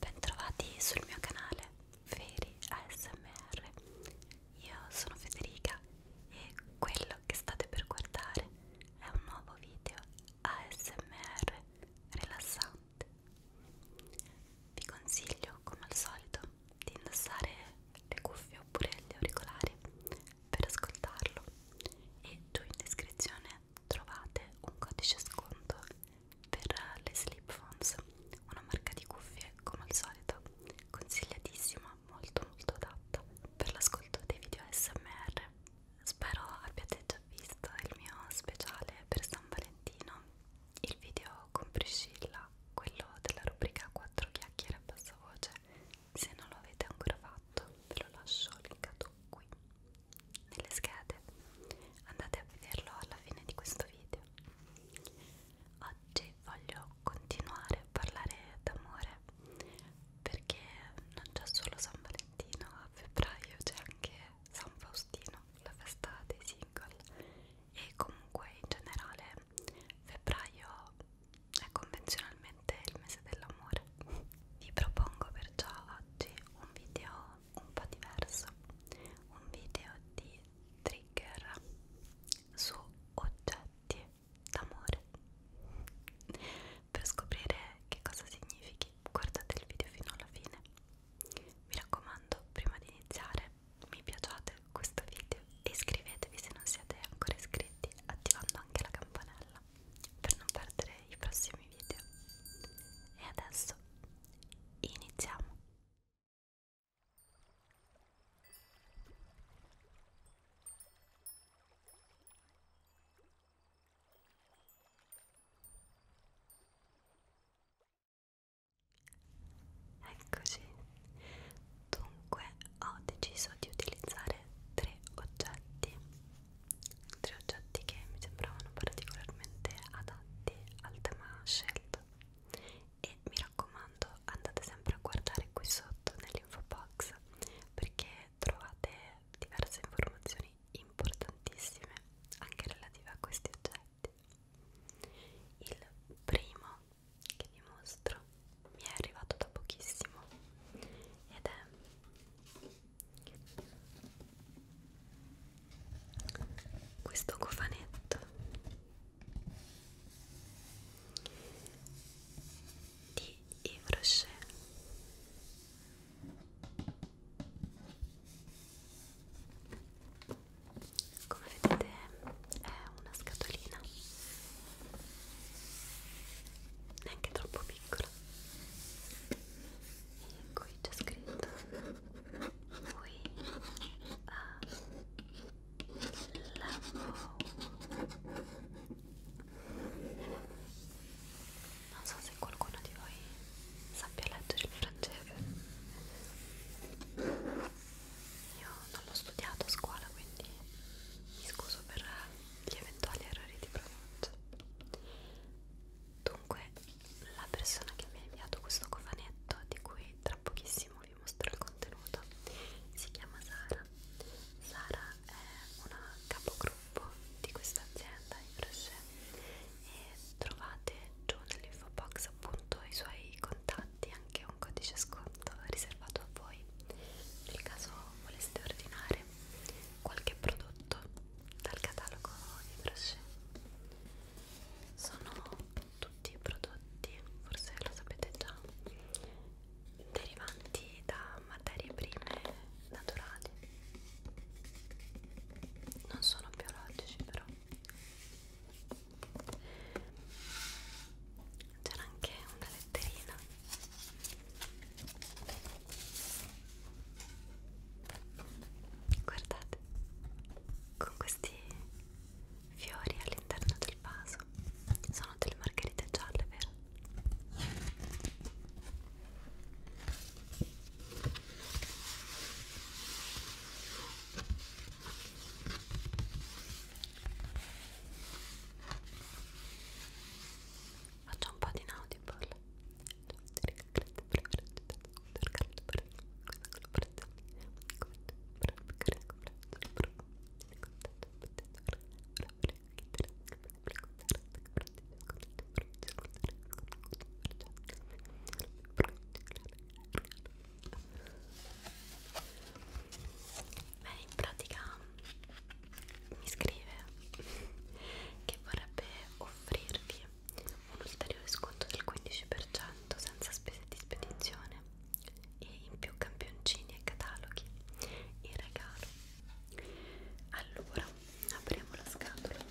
Bentrovati sul mio canale Feri ASMR. Io sono Federica e quello che state per guardare è un nuovo video ASMR rilassante. Vi consiglio, come al solito, di indossare le cuffie oppure gli auricolari per ascoltarlo e giù in descrizione trovate un codice sconto per le Sleep Phones, una marca di cuffie come al solito consigliatissima, molto molto adatta per l'ascolto dei video ASMR. Spero abbiate già visto il mio speciale per San Valentino, il video con Priscilla, quello della rubrica 4 chiacchiere a bassa voce. Se non lo avete ancora fatto, ve lo lascio linkato qui nelle schede andate a vederlo alla fine di questo video oggi voglio continuare a parlare d'amore perché non c'è solo San Valentino a febbraio c'è anche San Faustino la festa dei single e comunque in generale febbraio è convenzionalmente il mese dell'amore vi propongo perciò oggi un video un po' diverso un video di trigger su oggetti d'amore per scoprire che cosa significhi guardate il video fino alla fine mi raccomando prima di iniziare mi piaciate questo video e iscrivetevi se non siete ancora iscritti attivando anche la campanella per non perdere i prossimi video e adesso iniziamo Eccoci, dunque ho deciso di utilizzare tre oggetti tre oggetti che mi sembravano particolarmente adatti al tema scelto e mi raccomando andate sempre a guardare qui sotto nell'info box perché trovate diverse informazioni importantissime anche relative a questi oggetti il primo che vi mostro mi è arrivato da pochissimo ed è questo cofanetto di Yves Rocher come vedete è una scatolina neanche troppo piccola e qui c'è scritto We are ah, non so se qualcuno di voi sappia leggere il francese. Io non l'ho studiato a scuola, quindi mi scuso per gli eventuali errori di pronuncia. Dunque, la persona che mi ha inviato questo cofanetto, di cui tra pochissimo vi mostro il contenuto, si chiama Sara. Sara è una capogruppo di questa azienda in Roche e trovate giù nell'info box appunto i suoi contatti, anche un codice sconto riservato a voi nel caso voleste ordinare qualche prodotto dal catalogo di Brochet sono tutti prodotti, forse lo sapete già, derivanti da materie prime naturali non sono biologici però c'era anche una letterina Guardate, con questi fiori all'interno del vaso sono delle margherite gialle, vero? faccio un po' di nautical Beh, in pratica mi scrive che vorrebbe offrirvi Italia un ulteriore sconto del 15% senza spese di spedizione e in più campioncini e cataloghi in regalo allora apriamo la scatola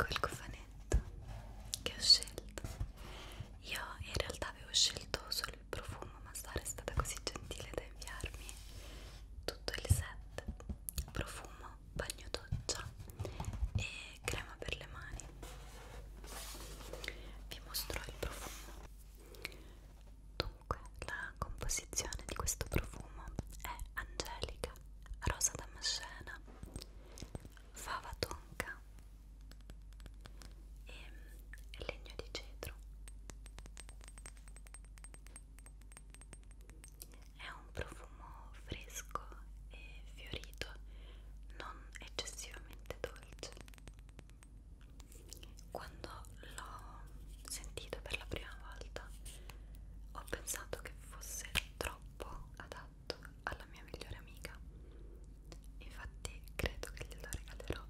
Ecco il cofanetto che ho scelto. Io in realtà avevo scelto solo il profumo, ma Sara è stata così gentile da inviarmi tutto il set: profumo, bagno doccia e crema per le mani vi mostrò il profumo dunque la composizione di questo profumo è angelica rosa damascena fava tonka e legno di cedro è un profumo profumo fresco e fiorito, non eccessivamente dolce. Quando l'ho sentito per la prima volta ho pensato che fosse troppo adatto alla mia migliore amica. Infatti credo che glielo regalerò.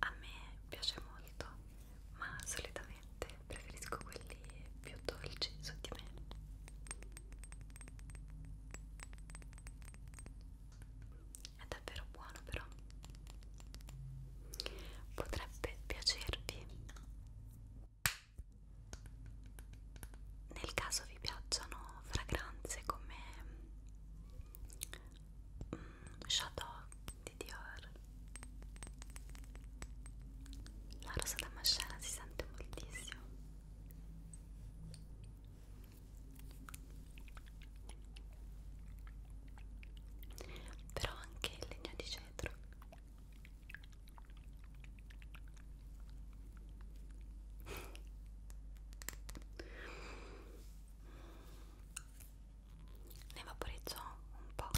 A me piace molto, ma solitamente preferisco quelli più dolci su di me. È davvero buono però. Potrebbe piacervi. Nel caso vi piacciono fragranze come mm, Chateau di Dior. La rosa damascena si sente moltissimo però anche il legno di cetro ne vaporizzò un po'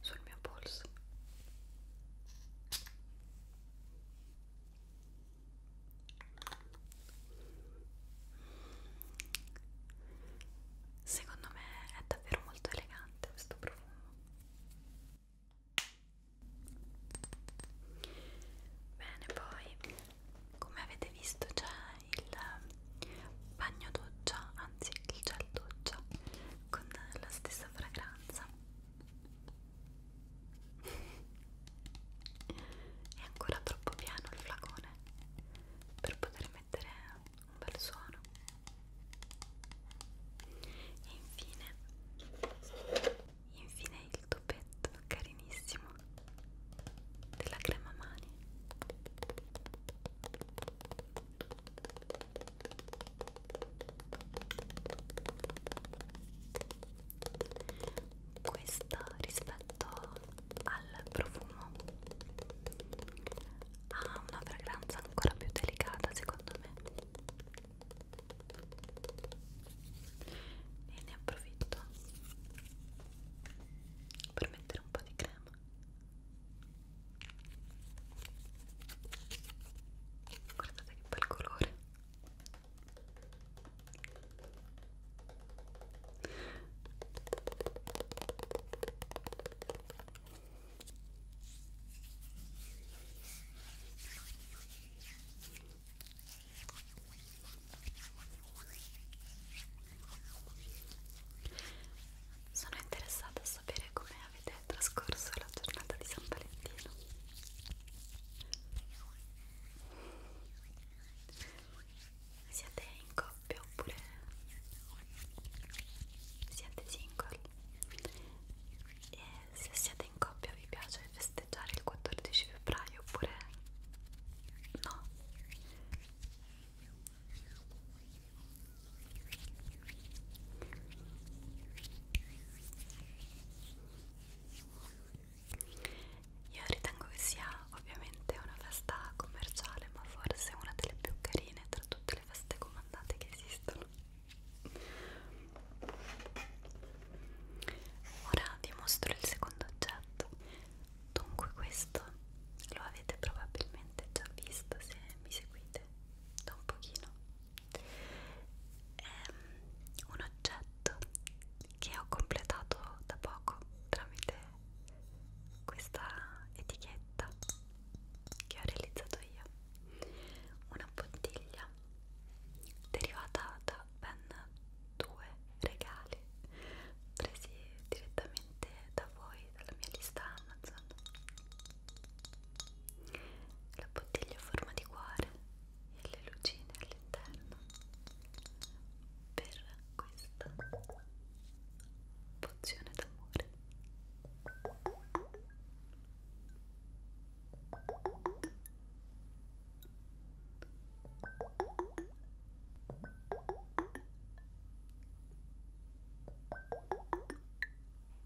sul mio polso Secondo me è davvero molto elegante questo profumo. Bene, poi come avete visto c'è il bagno doccia, anzi il gel doccia con la stessa fragranza è ancora troppo piano il flacone per poter mettere un bel suono. E infine, infine il topetto carinissimo della crema mani questa rispetto al profumo ha una fragranza ancora più delicata secondo me e ne approfitto per mettere un po' di crema guardate che bel colore sono interessata a sapere com'è avete trascorso la giornata di San Valentino? Siete in coppia oppure siete single? E se siete in coppia vi piace festeggiare il 14 febbraio oppure no? Io ritengo che sia ovviamente una festa commerciale, ma forse una delle più carine tra tutte le feste comandate che esistono. Ora vi mostro il secondo oggetto. Dunque, questo lo avete probabilmente già visto se mi seguite da un pochino è ehm, un oggetto che ho completato da poco tramite questa etichetta che ho realizzato io una bottiglia derivata da ben due regali presi direttamente da voi dalla mia lista Amazon la bottiglia a forma di cuore e le lucine all'interno per questa pozione d'amore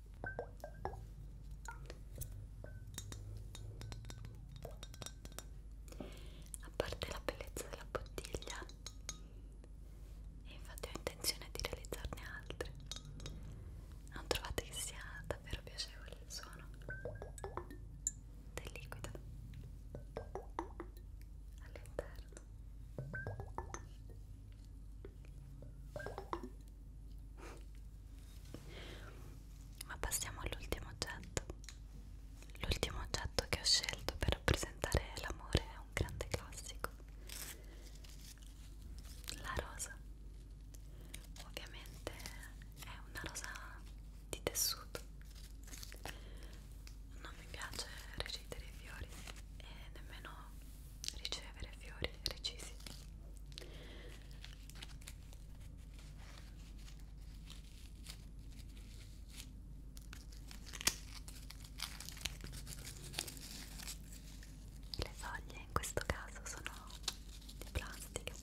a parte la bellezza della bottiglia e infatti ho intenzione di realizzarne altre non trovate che sia davvero piacevole il suono del liquido all'interno ma passiamo all'ultimo oggetto. L'ultimo oggetto che ho scelto per rappresentare l'amore è un grande classico. La rosa. Ovviamente è una rosa di tessuto. Non mi piace recidere i fiori e nemmeno ricevere fiori recisi le foglie in questo caso sono di plastica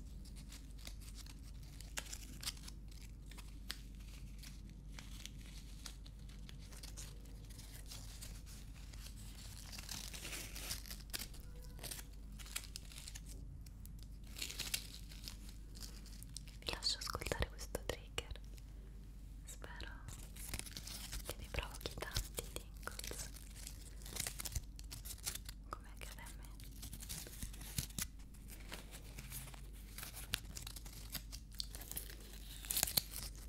vi lascio ascoltare questo trigger. Spero che vi provochi tanti tingles come accade a me.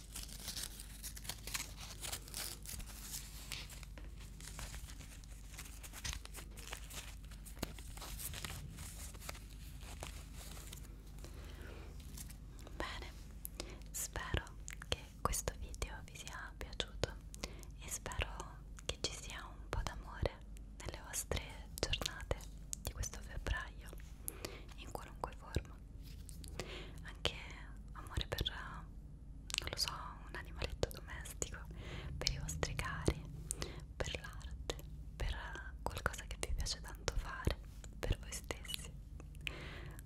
Bene, spero che questo video vi sia piaciuto e spero che ci sia un po' d'amore nelle vostre giornate di questo febbraio, in qualunque forma bellissimo anche amore per non lo so un animaletto domestico per i vostri cari per l'arte per qualcosa che vi piace tanto fare per voi stessi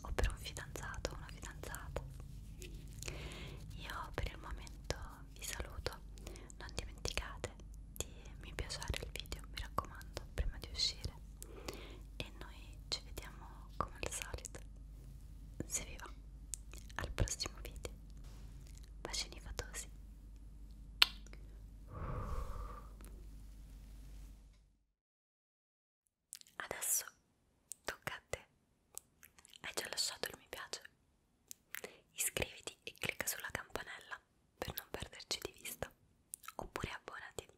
o per un fidanzato o una fidanzata io per il momento vi saluto non dimenticate di mi piacere il video mi raccomando prima di uscire e noi ci vediamo come al solito se vi va al prossimo video bacini fatosi adesso tocca a te hai già lasciato il mi piace iscriviti e clicca sulla campanella per non perderci di vista oppure abbonati